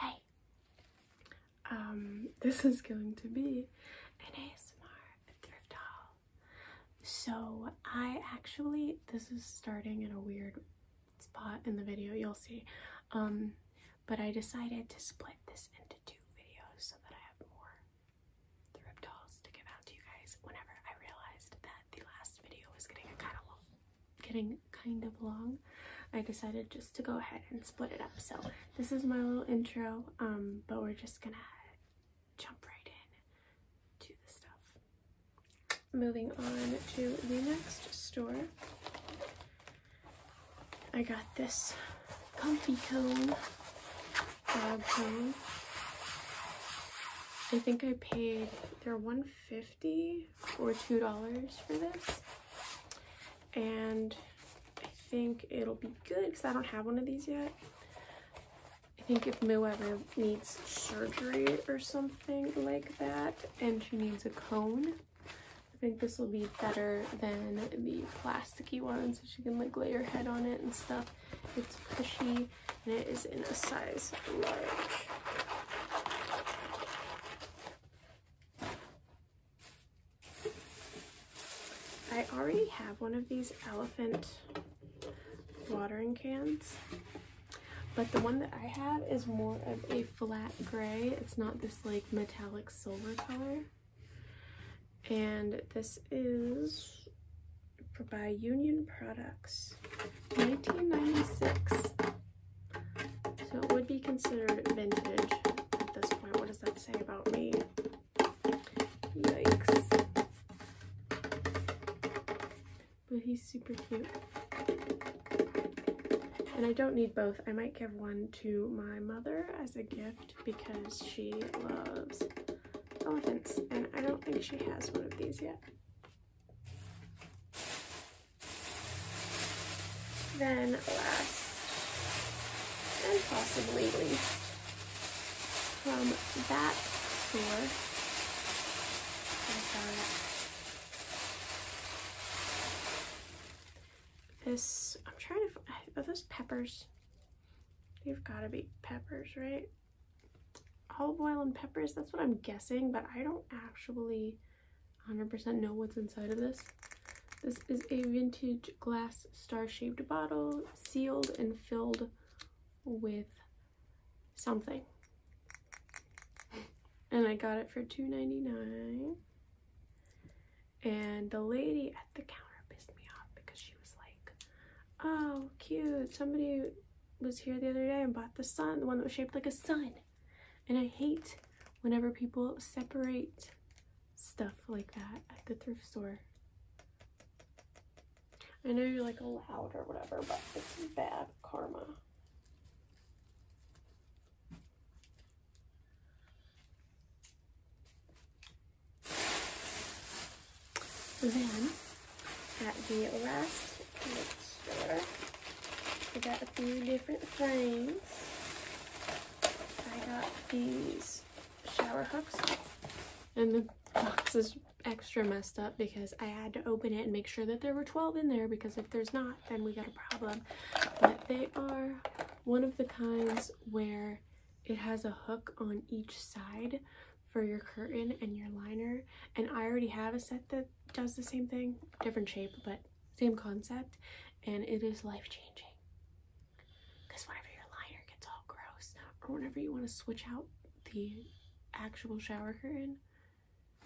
Hey, um, this is going to be an ASMR thrift haul. So I actually, this is starting in a weird spot in the video, you'll see. Um, but I decided to split this into two videos so that I have more thrift hauls to give out to you guys whenever I realized that the last video was getting kind of long getting kind of long, I decided just to go ahead and split it up. So this is my little intro, um, but we're just gonna jump right in to the stuff. Moving on to the next store. I got this comfy cone, cone. I think I paid, they're 150 fifty or two dollars for this, and I think it'll be good because I don't have one of these yet. I think if Moo ever needs surgery or something like that, and she needs a cone, I think this will be better than the plasticky one so she can like lay her head on it and stuff. It's cushy and it is in a size large. I already have one of these elephant watering cans, but the one that I have is more of a flat gray. It's not this like metallic silver color. And this is by Union Products, 1996. So it would be considered vintage at this point. What does that say about me? Yikes. But he's super cute. And I don't need both. I might give one to my mother as a gift because she loves elephants. And I don't think she has one of these yet. Then last and possibly least from that store, this, I'm trying to, are those peppers? They've got to be peppers, right? olive oil and peppers. That's what I'm guessing, but I don't actually 100% know what's inside of this. This is a vintage glass star-shaped bottle, sealed and filled with something. And I got it for $2.99. And the lady at the counter pissed me off because she was like, oh, cute, somebody was here the other day and bought the sun, the one that was shaped like a sun. And I hate whenever people separate stuff like that at the thrift store. I know you're like allowed or whatever, but it's bad karma. Then, at the last store, I got a few different things. I got these shower hooks. And the box is extra messed up because I had to open it and make sure that there were 12 in there because if there's not, then we got a problem. But they are one of the kinds where it has a hook on each side for your curtain and your liner and I already have a set that does the same thing different shape but same concept and it is life-changing because whenever your liner gets all gross or whenever you want to switch out the actual shower curtain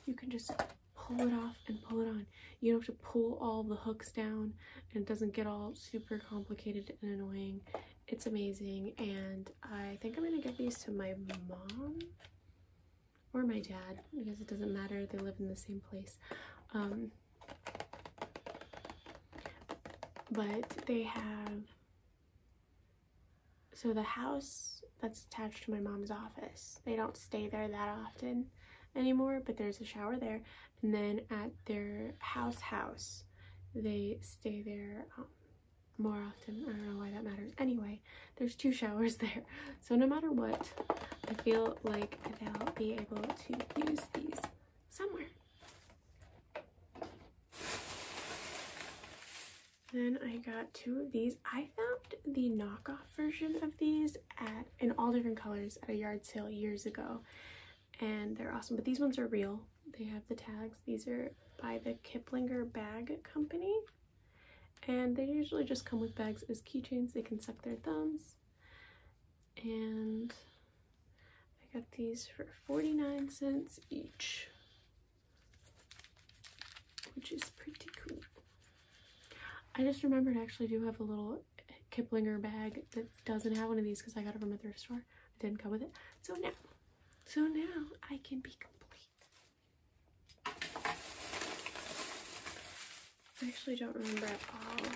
you can just pull it off and pull it on you don't have to pull all the hooks down and it doesn't get all super complicated and annoying it's amazing, and I think I'm gonna give these to my mom or my dad because it doesn't matter, they live in the same place. Um, but they have so the house that's attached to my mom's office, they don't stay there that often anymore, but there's a shower there. And then at their house house, they stay there um, more often. I don't know why that matters. Anyway, there's two showers there. So no matter what, I feel like they'll be able to use these somewhere. Then I got two of these. I found the knockoff version of these at in all different colors at a yard sale years ago. And they're awesome, but these ones are real. They have the tags. These are by the Kiplinger Bag Company. And they usually just come with bags as keychains. They can suck their thumbs. And I got these for 49 cents each, which is pretty cool. I just remembered I actually do have a little Kiplinger bag that doesn't have one of these because I got it from a thrift store didn't come with it. So now, so now I can be complete. I actually don't remember at all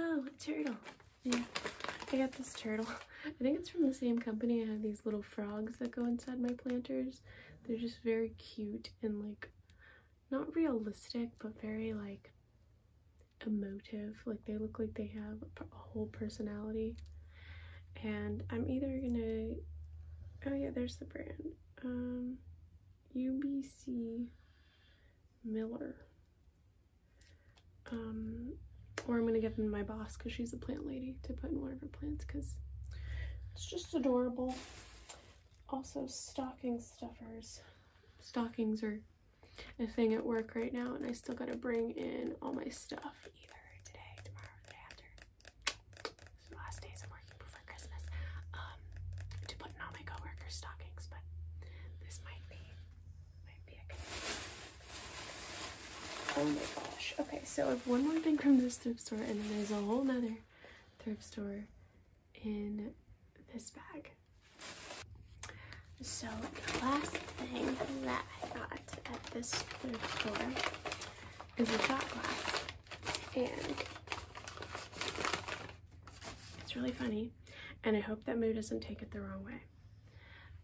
Oh, turtle. Yeah, I got this turtle. I think it's from the same company. I have these little frogs that go inside my planters. They're just very cute and like not realistic but very like emotive like they look like they have a whole personality and i'm either gonna oh yeah there's the brand um ubc miller um or i'm gonna give them my boss because she's a plant lady to put in one of her plants because it's just adorable also stocking stuffers. Stockings are a thing at work right now and I still gotta bring in all my stuff either today, tomorrow, the day after. last days i working before Christmas um, to put all my coworkers' stockings, but this might be, might be a good Oh my gosh. Okay, so I have one more thing from this thrift store and then there's a whole other thrift store in this bag. So the last thing that I got at this thrift store is a shot glass. And it's really funny. And I hope that Moo doesn't take it the wrong way.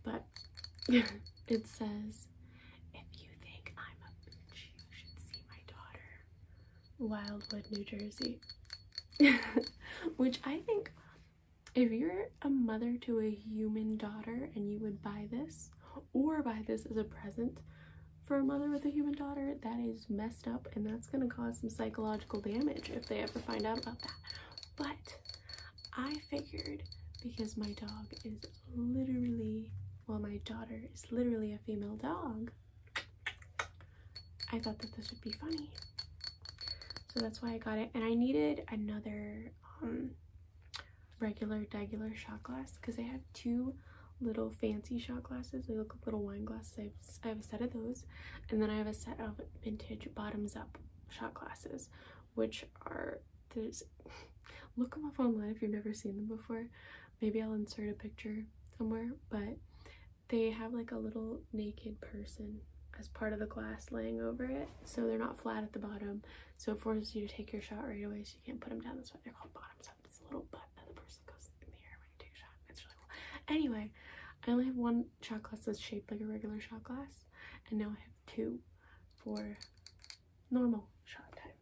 But it says, if you think I'm a bitch, you should see my daughter. Wildwood, New Jersey. Which I think if you're a mother to a human daughter and you would buy this or buy this as a present for a mother with a human daughter, that is messed up and that's going to cause some psychological damage if they ever find out about that. But I figured because my dog is literally, well, my daughter is literally a female dog, I thought that this would be funny. So that's why I got it. And I needed another um, regular, regular shot glass because I have two little fancy shot glasses. They look like little wine glasses. I've, I have a set of those. And then I have a set of vintage bottoms up shot glasses, which are, there's, look them up online if you've never seen them before maybe I'll insert a picture somewhere but they have like a little naked person as part of the glass laying over it so they're not flat at the bottom so it forces you to take your shot right away so you can't put them down that's why they're called bottoms up it's a little butt that the person goes in the air when you take a shot it's really cool anyway I only have one shot glass that's shaped like a regular shot glass and now I have two for normal shot time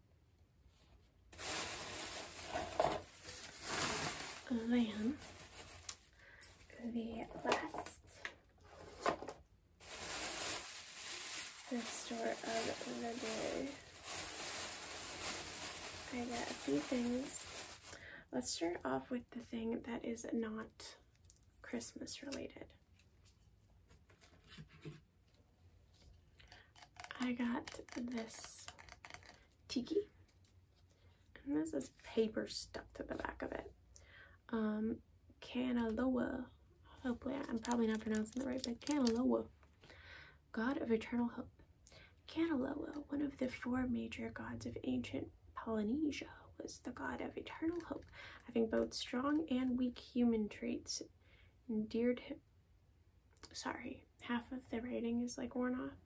then the last the store of the day. I got a few things. Let's start off with the thing that is not Christmas related. I got this tiki. And this is paper stuck to the back of it. Um, Canaloa. Hopefully, I'm probably not pronouncing it right, but Kanaloa, God of Eternal Hope. Kanaloa, one of the four major gods of ancient Polynesia, was the god of eternal hope, having both strong and weak human traits endeared him sorry, half of the writing is like worn off,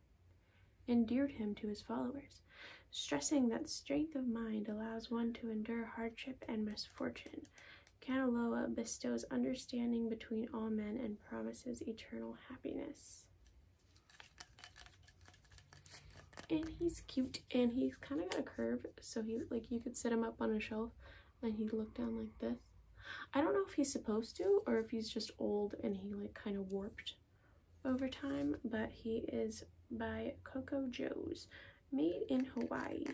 endeared him to his followers, stressing that strength of mind allows one to endure hardship and misfortune. Canaloa bestows understanding between all men and promises eternal happiness. And he's cute and he's kind of got a curve, so he like you could sit him up on a shelf and he looked down like this. I don't know if he's supposed to or if he's just old and he like kind of warped over time, but he is by Coco Joe's, made in Hawaii,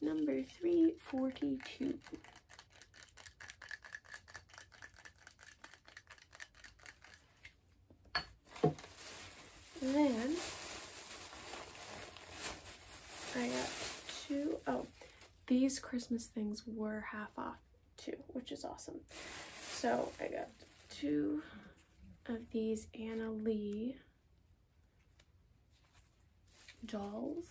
number 342. Then I got two. Oh, these Christmas things were half off too, which is awesome. So I got two of these Anna Lee dolls.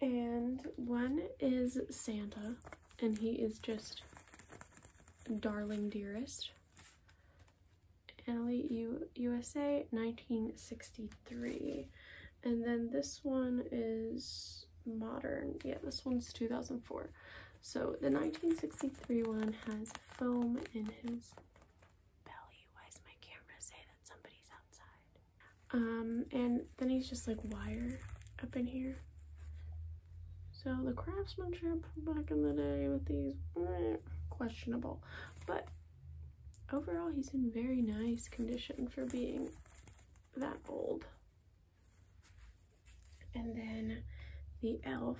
And one is Santa, and he is just darling dearest. Annalee U USA 1963. And then this one is modern. Yeah, this one's 2004. So the 1963 one has foam in his belly. Why does my camera say that somebody's outside? Um, and then he's just like wire up in here. So the craftsmanship back in the day with these, eh, questionable. But overall he's in very nice condition for being that old. And then the elf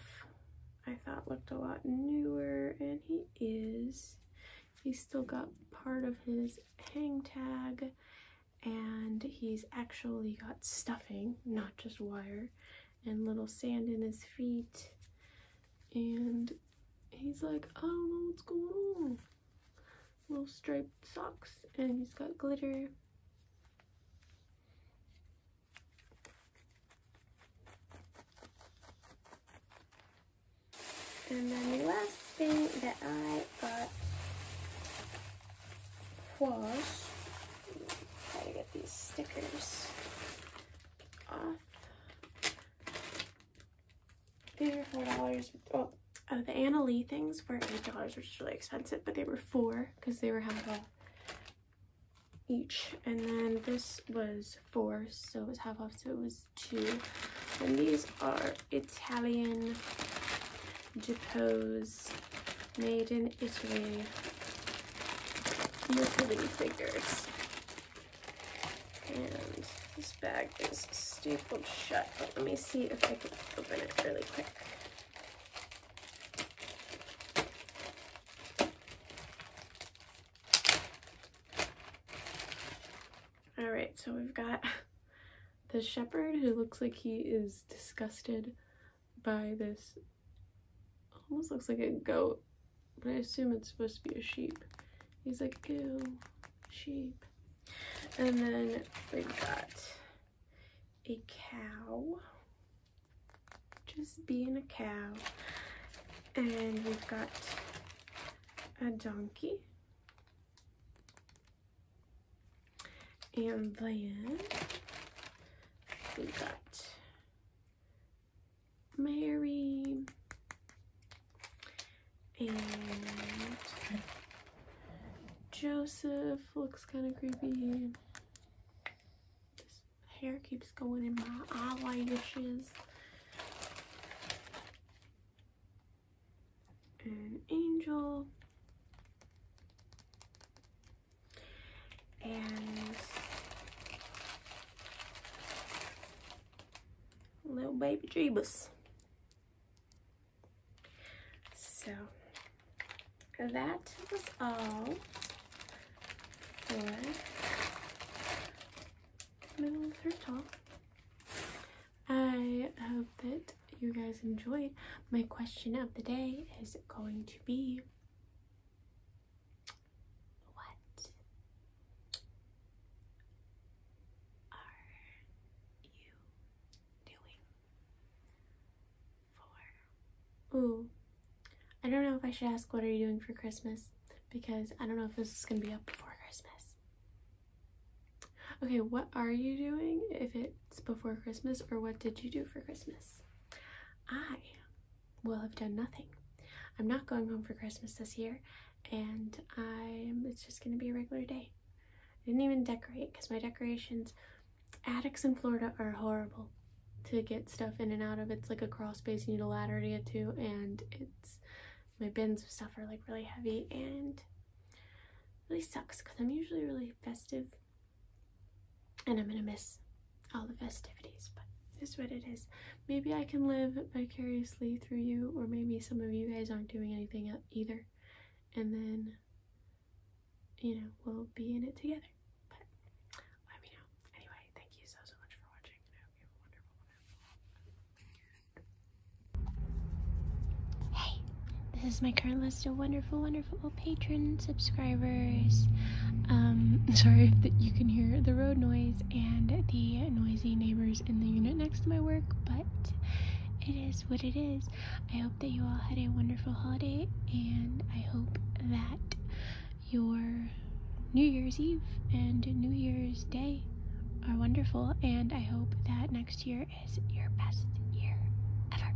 I thought looked a lot newer and he is. He still got part of his hang tag and he's actually got stuffing, not just wire, and little sand in his feet. And he's like, I don't know what's going on. Little striped socks, and he's got glitter. And then the last thing that I got was, try to get these stickers. These were $4. Oh, the Anna Lee things were $8, which is really expensive, but they were 4 because they were half off each. And then this was 4 so it was half off, so it was 2 And these are Italian depose, made in Italy utility figures. And this bag is stapled shut, but let me see if I can open it really quick. All right, so we've got the shepherd who looks like he is disgusted by this Almost looks like a goat, but I assume it's supposed to be a sheep. He's like, ew, sheep. And then we've got a cow, just being a cow. And we've got a donkey. And then we have got Mary. And Joseph looks kind of creepy. This hair keeps going in my eyelashes. An angel. And little baby Jeebus. So that was all for my little thrift I hope that you guys enjoyed. My question of the day is going to be what are you doing for? Ooh, I don't know if I should ask what are you doing for Christmas because I don't know if this is gonna be up before Christmas. Okay, what are you doing if it's before Christmas or what did you do for Christmas? I will have done nothing. I'm not going home for Christmas this year, and I'm it's just gonna be a regular day. I didn't even decorate because my decorations attics in Florida are horrible to get stuff in and out of. It's like a crawl space you need a ladder to get to and it's my bins of stuff are like really heavy and really sucks because I'm usually really festive and I'm gonna miss all the festivities, but it's what it is. Maybe I can live vicariously through you, or maybe some of you guys aren't doing anything either, and then you know we'll be in it together. But let me know. Anyway, thank you so so much for watching, I hope you have a wonderful, wonderful. Hey, this is my current list of wonderful, wonderful patron subscribers. Um, sorry that you can hear the road noise and the noisy neighbors in the unit next to my work, but it is what it is. I hope that you all had a wonderful holiday, and I hope that your New Year's Eve and New Year's Day are wonderful, and I hope that next year is your best year ever.